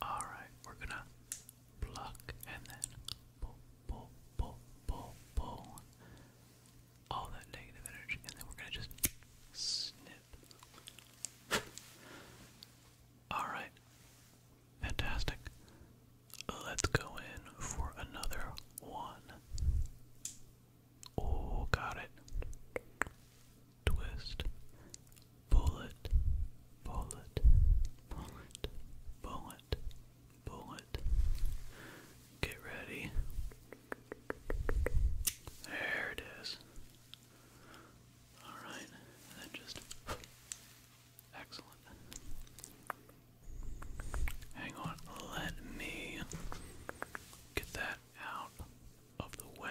Alright, we're gonna pluck and then pull, pull, pull, pull, pull all that negative energy, and then we're gonna just snip. Alright, fantastic. Let's go in for another one. Oh, got it twist, pull it, pull it, pull it, pull it, pull it. Get ready. There it is. Alright, then just excellent. Hang on, let me get that out of the way.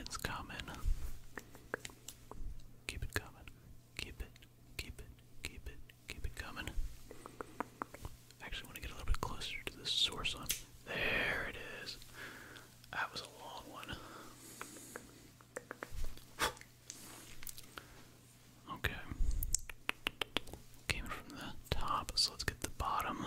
It's coming. Keep it coming. Keep it. Keep it. Keep it. Keep it coming. actually want to get a little bit closer to the source on. There it is. That was a long one. Okay. Came from the top, so let's get the bottom.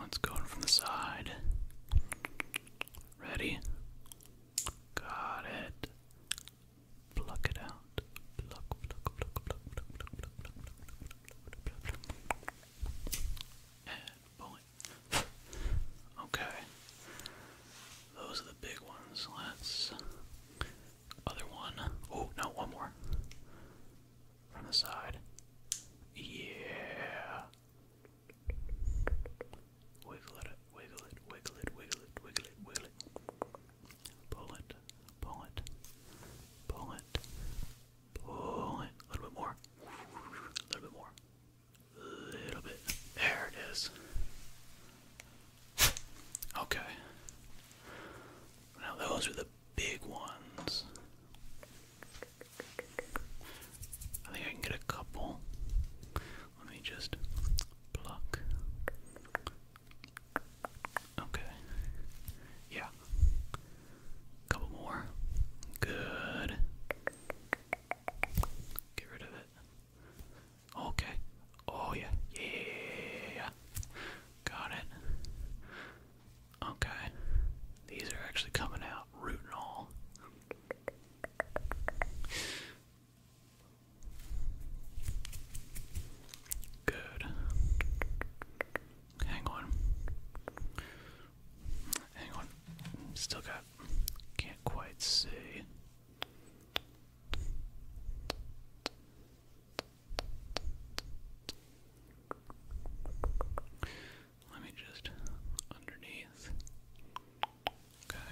Let's go from the side. Ready? Got it. Pluck it out. Pluck, pluck, pluck, pluck, pluck, pluck, pluck, pluck, pluck, pluck, pluck, pluck, pluck. And point. okay. Those are the big ones. Let's. Other one. Oh, no, one more. From the side. Yeah. Wiggle it, wiggle it, wiggle it, wiggle it, wiggle it, wiggle it. Pull it, pull it, pull it, pull it. A little bit more. A little bit more. A little bit. There it is. Okay. Now those are the big ones. I think I can get a couple. Let me just pluck. Okay. Yeah. Couple more. Good. Get rid of it. Okay. Oh yeah. Yeah. Got it. Okay. These are actually coming out root and all. Good. Hang on. Hang on. Still got. Can't quite see. Let me just underneath. Okay.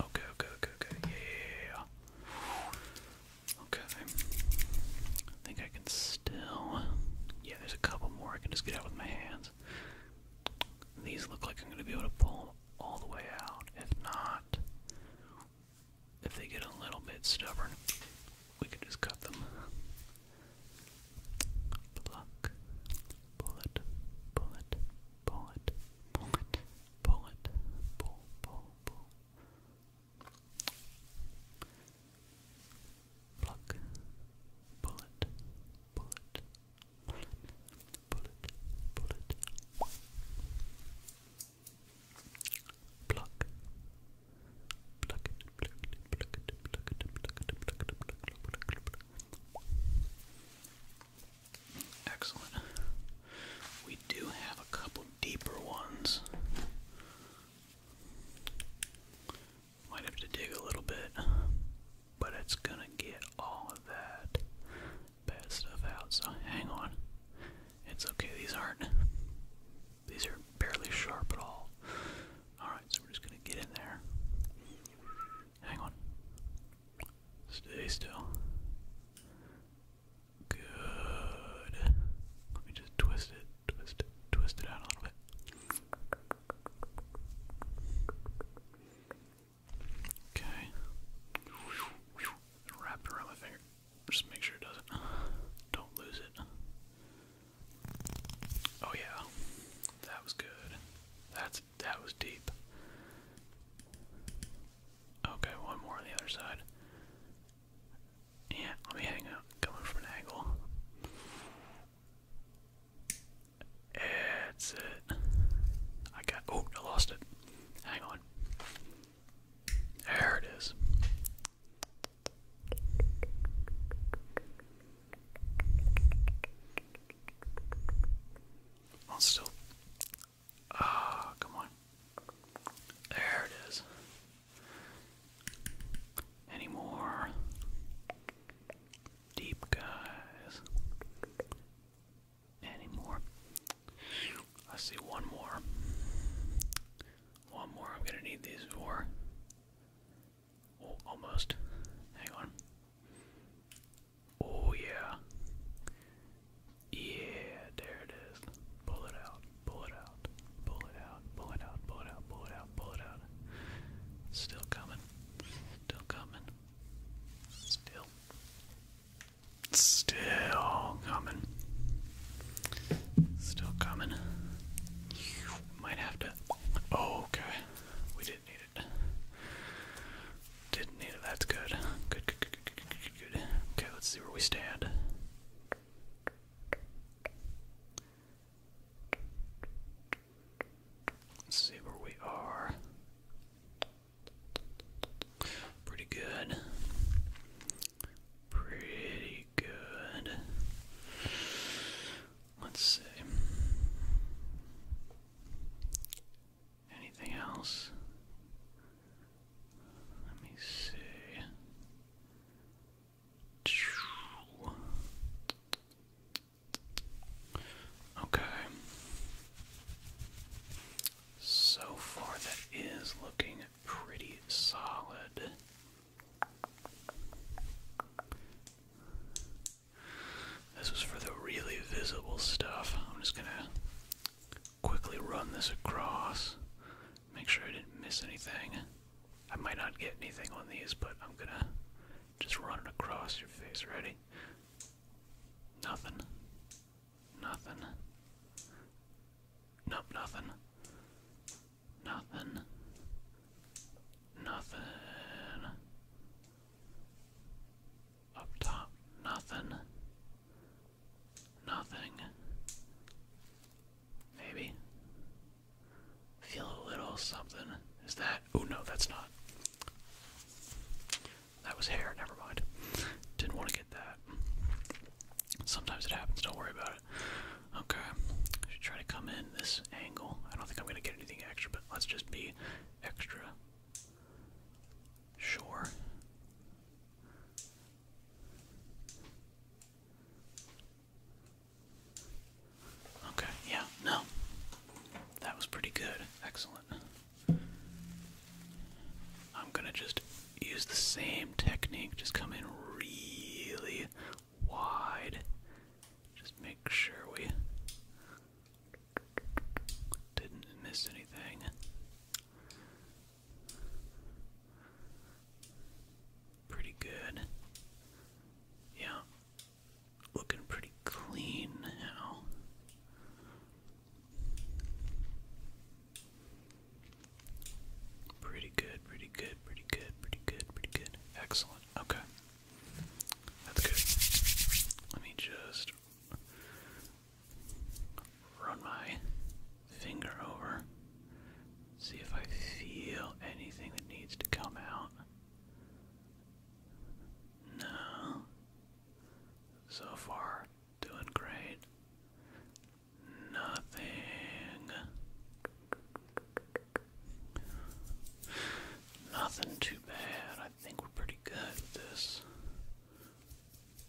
Okay, okay, okay, okay. Yeah. Okay. I think I can still. Yeah, there's a couple more I can just get out with my hands. These look like I'm going to be able to pull all the way out. If not, if they get a little bit stubborn, we can just cut them. Pluck, pull it, pull it, pull it, pull it, pull it, pull, pull, pull. Pluck, bullet, bullet, bullet, bullet, bullet. Pluck, pluck it, pluck it, pluck it, pluck it, pluck it, pluck it, pluck it, pluck it, pluck it. Excellent. We do have a couple deeper ones. Might have to dig a little bit, but it's gonna get all of that bad stuff out, so hang on. It's okay, these aren't, these are barely sharp at all. Alright, so we're just gonna get in there. Hang on. Stay still. Good. Let me just twist it, twist it, twist it out a little bit. Okay. Wrap it around my finger. Just make sure it doesn't. Don't lose it. Oh yeah. That was good. That's that was deep. Okay, one more on the other side. Yeah, I'll be heading out, coming from an angle. That's it. I got. Oh, I lost it. Hang on. There it is. I'll still Ah, come on. There it is. Any more deep guys? Any more? I see one more. One more. I'm gonna need these for. Oh, almost. Hang on. Oh yeah. Yeah, there it is. Pull it out, pull it out, pull it out, pull it out, pull out, pull out, pull it out. Still coming, still coming, still, still coming, still coming. Might have to. Oh, okay. We didn't need it. Didn't need it. That's good, good, Okay, let's see where we stand. Let's see where we are. Pretty good. Pretty good. Let's see. Anything else? Let me see. Okay. So far, that is looking pretty solid. This was for the really visible stuff. I'm just gonna quickly run this across. Make sure I didn't miss anything. I might not get anything on these, but I'm gonna just run it across your face. Ready? Nothing. Nothing. Nope, nothing. Nothing. Nothing. Up top, nothing. Nothing. Maybe. Feel a little something. Is that? Oh no, that's not. That was hair. Never mind. Didn't want to get that. Sometimes it happens. Don't worry about it. Okay. I should try to come in this angle. I don't think I'm gonna get anything extra, but let's just be extra. Sure. Okay, yeah, no. That was pretty good. Excellent. I'm gonna just use the same technique, just come in really wide. Just make sure we didn't miss anything. Pretty good. Yeah. Looking pretty clean now. Pretty good, pretty good, pretty good, pretty good, pretty good. Excellent. Okay. That's good. Let me just run my finger over, see if I feel anything that needs to come out. No. So far, doing great. Nothing. Nothing too bad. I think we're pretty good with this.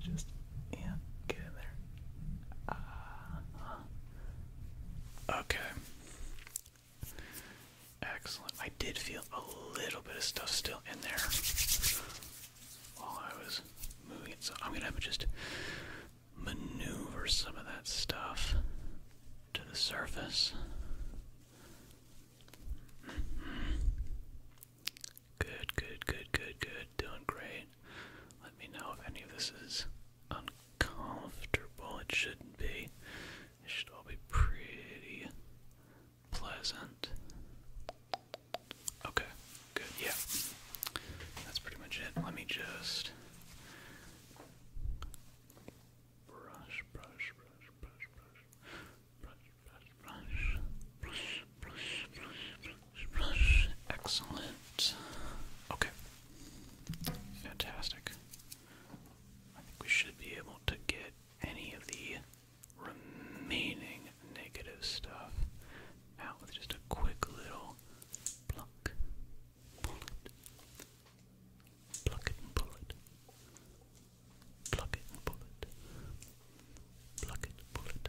Just yeah, get in there. Uh-huh. Okay. Excellent. I did feel a little bit of stuff still in there while I was moving it, so I'm gonna have to just maneuver some of that stuff to the surface. Good, good, good, good, good. Doing great. Let me know if any of this is uncomfortable. It shouldn't be. It should all be pretty pleasant. Okay, good, yeah. That's pretty much it. Let me just brush, brush, brush, brush, brush, brush, brush, brush, brush, brush, brush, brush. Excellent. Okay. Fantastic. I think we should be able to get any of the remaining negative stuff out with just a quick little pluck, pull it, pluck it and pull it, pluck it and pull it, pluck it, pull it,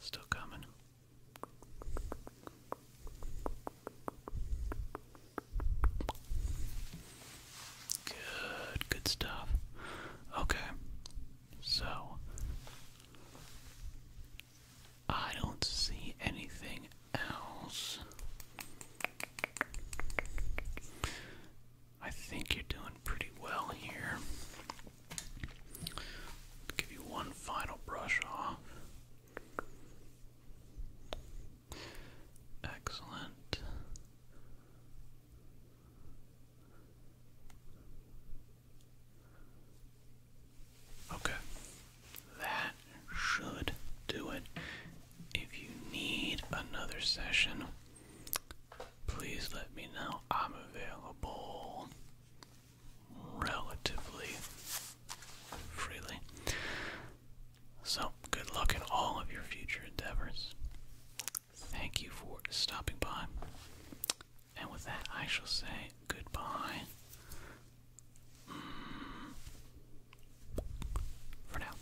Still coming. Good, good stuff. Okay, so I don't see anything else. I think you're doing pretty well here. Give you one final brush off. Excellent. Okay, that should do it. If you need another session, please let me know. I'm available relatively freely. So, good luck in all of your future endeavors. Thank you for stopping by. And with that, I shall say goodbye. Mm. For now.